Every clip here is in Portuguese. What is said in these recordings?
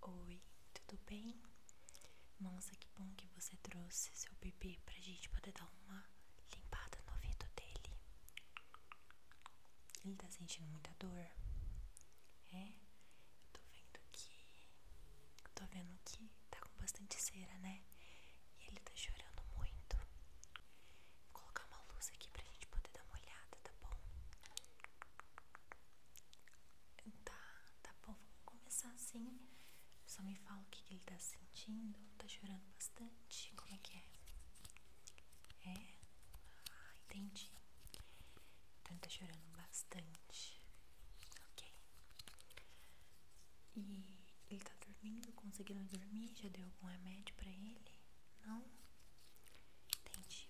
Oi, tudo bem? Nossa, que bom que você trouxe seu bebê pra gente poder dar uma limpada no ouvido dele. Ele tá sentindo muita dor? É? Eu tô vendo que. tô vendo que tá com bastante cera, né? E ele tá chorando muito. Vou colocar uma luz aqui pra gente poder dar uma olhada, tá bom? Tá, tá bom, vamos começar assim. Só me fala o que, ele tá sentindo. Tá chorando bastante? Como é que é? É? Ah, entendi. Então ele tá chorando bastante. Ok. E ele tá dormindo? Conseguiram dormir? Já deu algum remédio pra ele? Não? Entendi.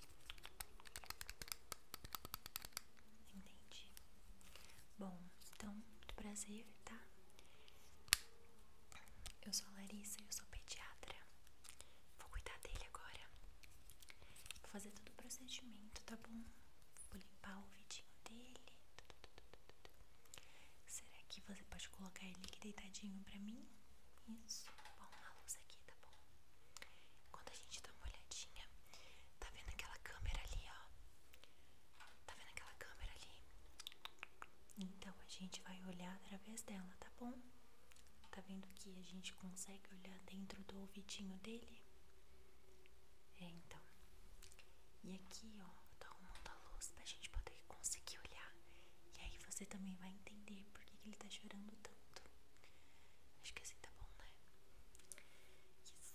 Entendi. Bom, então, muito prazer, tá? Eu sou a Larissa, eu sou pediatra. Vou cuidar dele agora. Vou fazer todo o procedimento, tá bom? Vou limpar o vidinho dele. Será que você pode colocar ele aqui deitadinho pra mim? Isso. vou Bom, a luz aqui, tá bom? Quando a gente dá uma olhadinha, tá vendo aquela câmera ali, ó? Tá vendo aquela câmera ali? Então a gente vai olhar através dela, tá bom? Tá vendo que a gente consegue olhar dentro do ouvidinho dele? É, então. E aqui, ó, eu tô arrumando a luz pra gente poder conseguir olhar. E aí você também vai entender por que, que ele tá chorando tanto. Acho que assim tá bom, né? Isso.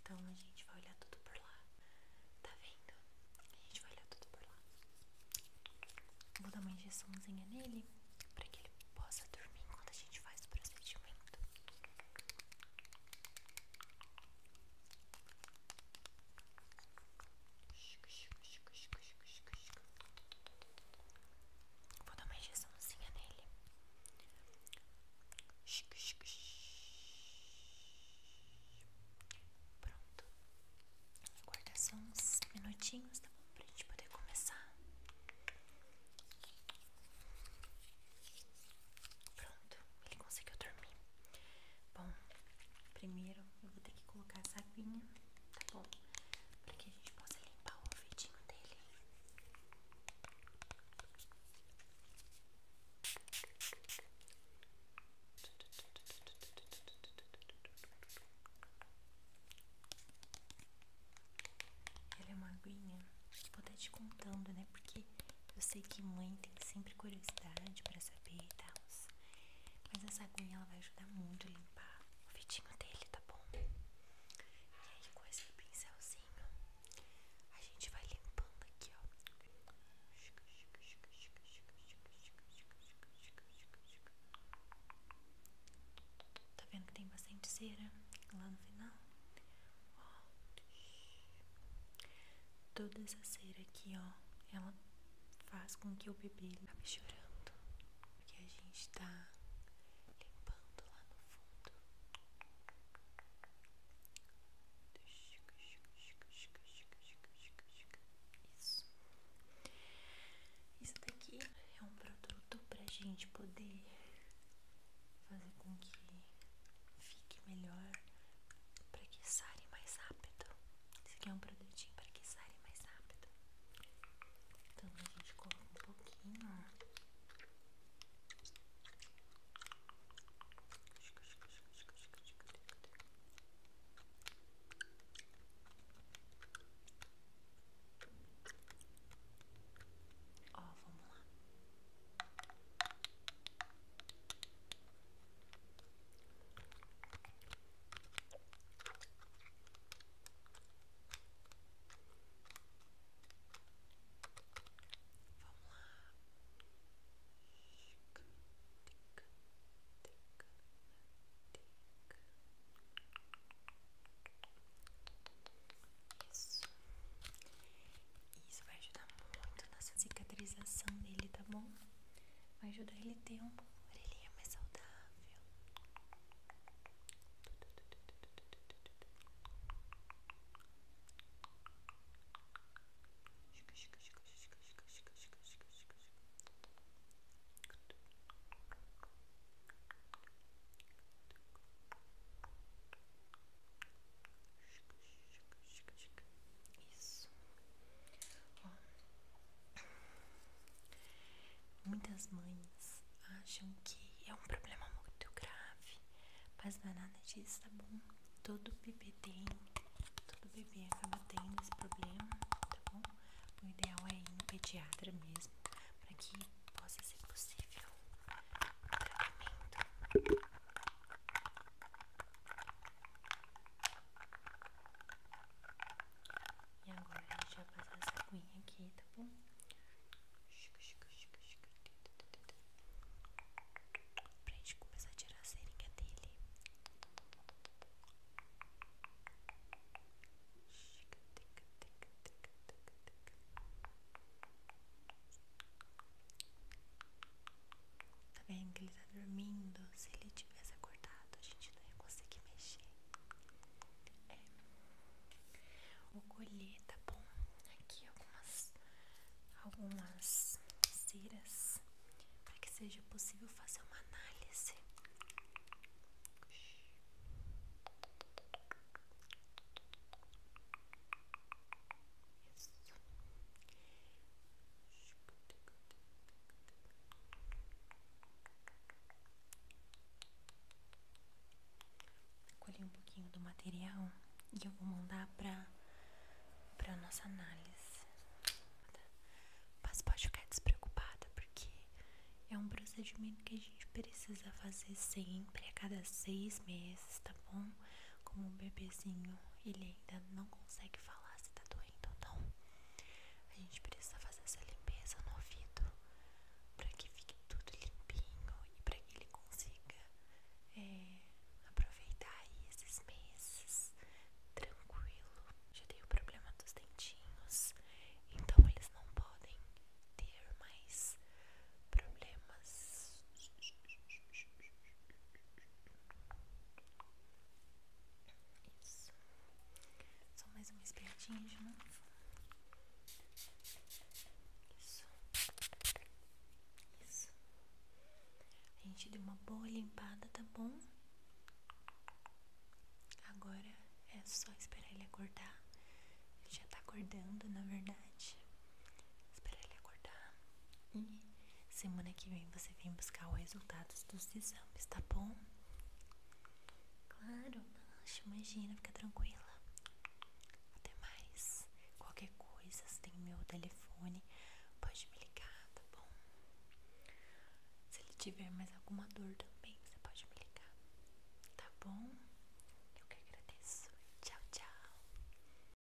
Então a gente vai olhar tudo por lá. Tá vendo? A gente vai olhar tudo por lá. Vou dar uma injeçãozinha nele para que ele possa dormir enquanto a gente faz o procedimento. Vou dar uma injeçãozinha nele. Pronto. Aguarda só uns minutinhos, tá bom? Pra gente poder começar. Pronto, ele conseguiu dormir. Bom, Primeiro eu vou ter que colocar essa aguinha, tá bom? Pra que a gente possa limpar o ouvidinho dele. Ela é uma aguinha, vou estar te contando, né? Porque eu sei que mãe tem sempre curiosidade pra saber e mas essa agulha ela vai ajudar muito a limpar o vidinho dele, tá bom? E aí com esse pincelzinho a gente vai limpando aqui, ó. Tá vendo que tem bastante cera lá no final? Ó. Toda essa cera aqui, ó, ela faz com que o bebê acabe chorando. Porque a gente tá limpando lá no fundo. Isso. Isso daqui é um produto pra gente poder fazer com que fique melhor para que sare mais rápido. Esse aqui é um produtinho para que sare mais rápido. Então a gente coloca um pouquinho, Ó, vamos lá. Vamos lá. Tica, tica, tica, Isso. Isso vai ajudar muito nessa cicatrização dele, tá bom? vai ajudar ele a ter uma orelhinha mais saudável. Isso muitas mães acham que é um problema muito grave, mas é nada disso, tá bom? Todo bebê tem, todo bebê acaba tendo esse problema, tá bom? O ideal é ir no pediatra mesmo, para que possa ser possível o tratamento. E agora a gente vai passar essa aguinha aqui, tá bom? Pra gente começar a tirar a seringa dele. Tic, tic, tic, tic, tic, tic. Tá vendo que ele tá dormindo? Se ele tivesse acordado, a gente não ia conseguir mexer. É. Vou colher, tá bom? Aqui algumas, algumas ceras para que seja possível fazer uma análise. Isso. Colhi um pouquinho do material e eu vou mandar para para nossa análise. Mas pode ficar despreocupada porque é um procedimento que a gente precisa fazer sempre a cada seis meses, tá bom? como um bebezinho, ele ainda não consegue falar se tá doendo ou não. A gente precisa fazer essa limpeza no ouvido para que fique tudo limpinho e para que ele consiga é, aproveitar aí esses meses tranquilo. Já tem o problema dos dentinhos, então eles não podem ter mais problemas isso. Só mais uma espertinha de novo. Isso. Isso. A gente deu uma boa limpada, tá bom? Agora é só esperar ele acordar. Ele já tá acordando, na verdade. Esperar ele acordar. E semana que vem você vem buscar os resultados dos exames, tá bom? Claro, não, imagina, fica tranquila. Até mais. Qualquer coisa, você tem meu telefone, pode me ligar, tá bom? Se ele tiver mais alguma dor também, você pode me ligar, tá bom? Eu que agradeço. Tchau, tchau.